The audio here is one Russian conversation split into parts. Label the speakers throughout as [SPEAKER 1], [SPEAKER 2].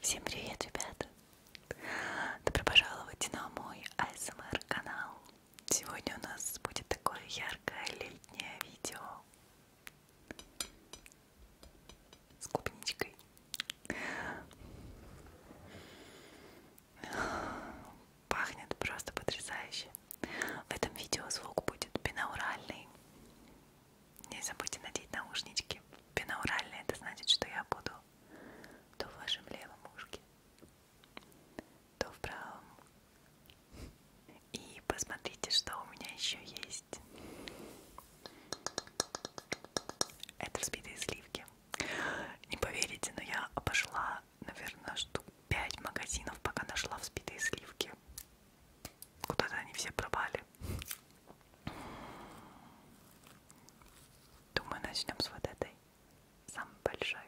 [SPEAKER 1] Всем привет, ребята! Добро пожаловать на мой ASMR канал. Сегодня у нас будет такое яркое летнее видео с клубничкой. Пахнет просто потрясающе. В этом видео звук будет бинауральный. Не забудьте надеть наушнички. Бинауральные, это значит, что я буду то в вашем левом ушке, то в правом. И посмотрите, что у меня еще есть. Это взбитые сливки. Не поверите, но я обошла, наверное, штук 5 магазинов, пока нашла взбитые сливки. Куда-то они все пропали. Думаю, начнем с вот этой, самой большой.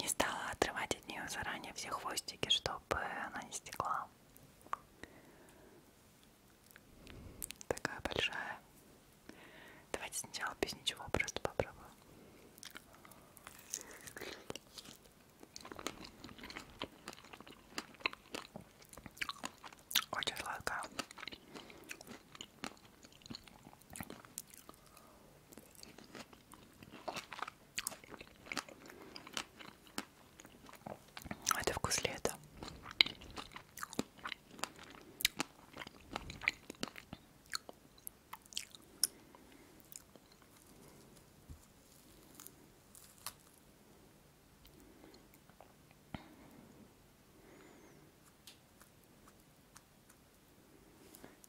[SPEAKER 1] Не стала отрывать от нее заранее все хвостики, чтобы она не стекла. Такая большая. Давайте сначала без ничего просто попробуем. Очень сладко. Это вкус лета.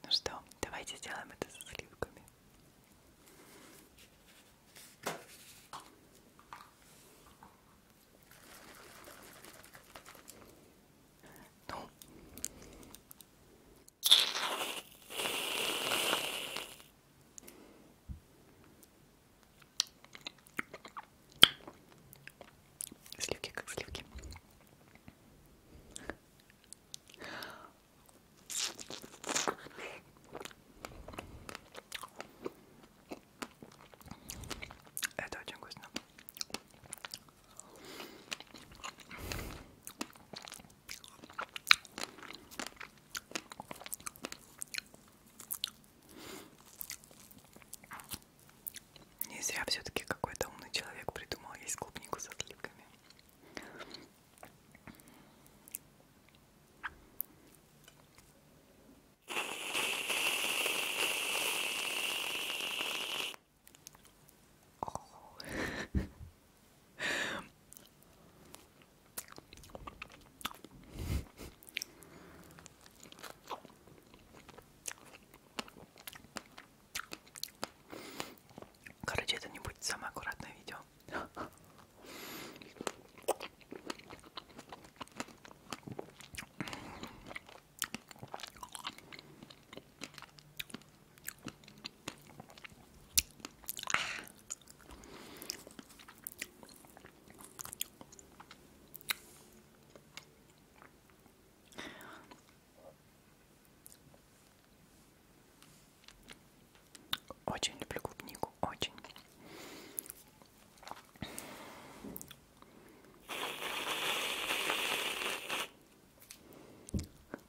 [SPEAKER 1] Ну что, давайте сделаем это со сливками. Ну, Сливки как сливки. Это очень вкусно. Не зря все-таки какой-то умный человек придумал есть клубнику с отливками. Короче, это не будет самое аккуратное видео. Очень люблю клубнику, очень.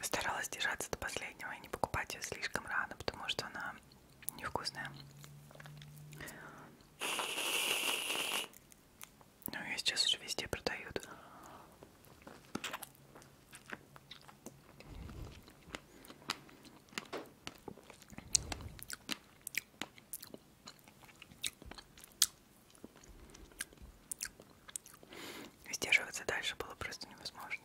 [SPEAKER 1] Старалась держаться до последнего и не покупать ее слишком рано, потому что она невкусная. Ну, ее сейчас уже везде продают. Сдерживаться дальше было просто невозможно.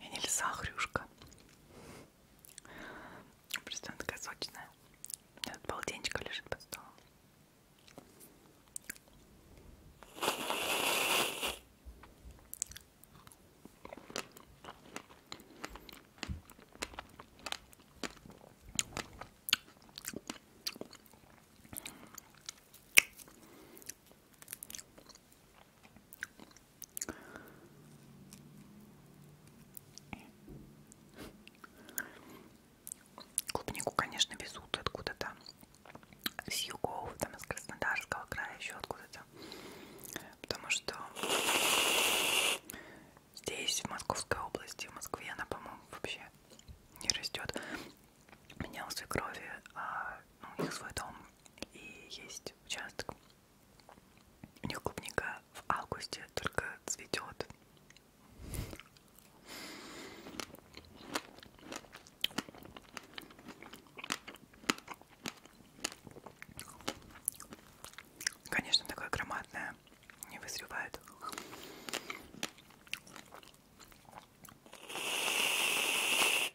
[SPEAKER 1] Я не лиса, а хрюшка. Просто она такая сочная. У меня тут полотенечко лежит под столом. Клубнику, конечно, везут откуда-то с югов, там из Краснодарского края, еще откуда-то. Потому что здесь, в Московской области, в Москве, она, по-моему, вообще не растет. У меня у свекрови, а, ну, у них свой дом, и есть есть участок. У них клубника в августе только цветет. Конечно, такое громадное не вызревает.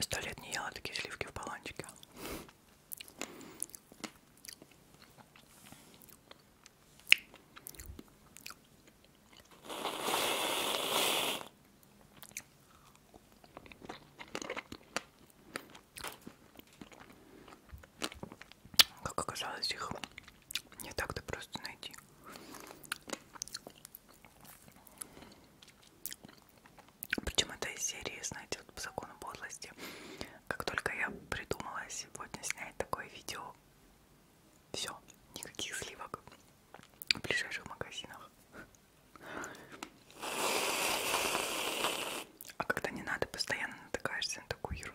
[SPEAKER 1] Сто лет не ела такие сливки в баланчике. Как оказалось, их не так-то просто найти. Причем это из серии, знаете, вот по закону подлости. Как только я придумала сегодня снять такое видео, все, никаких сливок в ближайших магазинах. А когда не надо, постоянно натыкаешься на такую ерунду.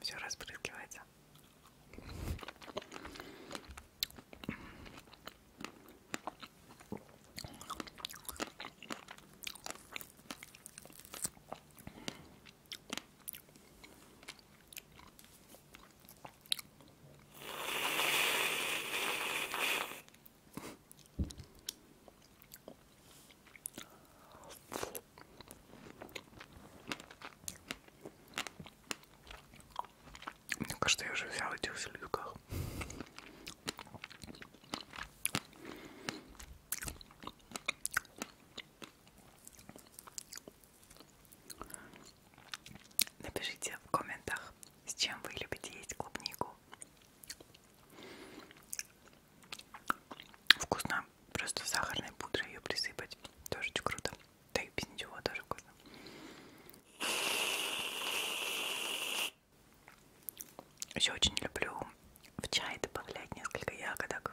[SPEAKER 1] все разбрызгивается. Фу. Мне кажется, я уже взял этих в селедках. Напишите в комментах, с чем вы любите есть клубнику. Вкусно просто сахарной пудрой ее присыпать. Тоже очень круто. Да и без ничего тоже вкусно. Еще очень люблю в чай добавлять несколько ягодок.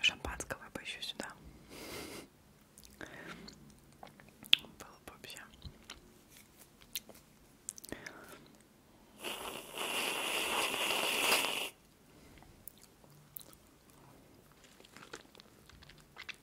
[SPEAKER 1] Шампанского бы еще сюда. Было бы вообще.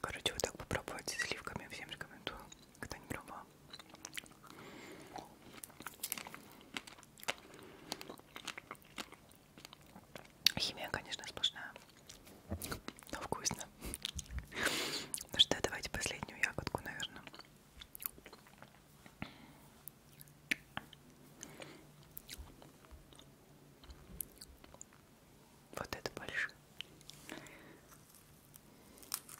[SPEAKER 1] Короче, вот так попробовать с сливками всем рекомендую, кто не пробовал. Химия, конечно, сплошная, но вкусно. Ну что, давайте последнюю ягодку, наверное. Вот это больше.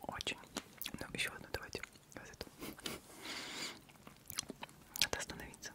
[SPEAKER 1] Очень. Ну, еще одну давайте. Вот эту. Надо остановиться.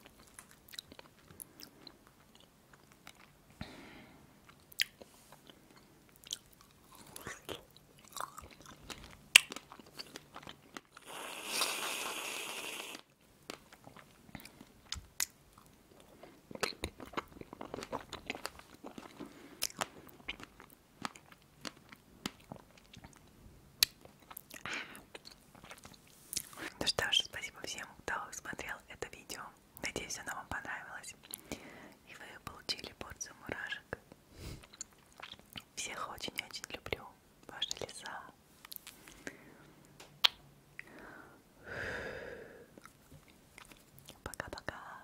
[SPEAKER 1] Ну что ж, спасибо всем, кто смотрел это видео. Надеюсь, оно вам понравилось. И вы получили порцию мурашек. Всех очень-очень люблю. Ваша лиса. Пока-пока.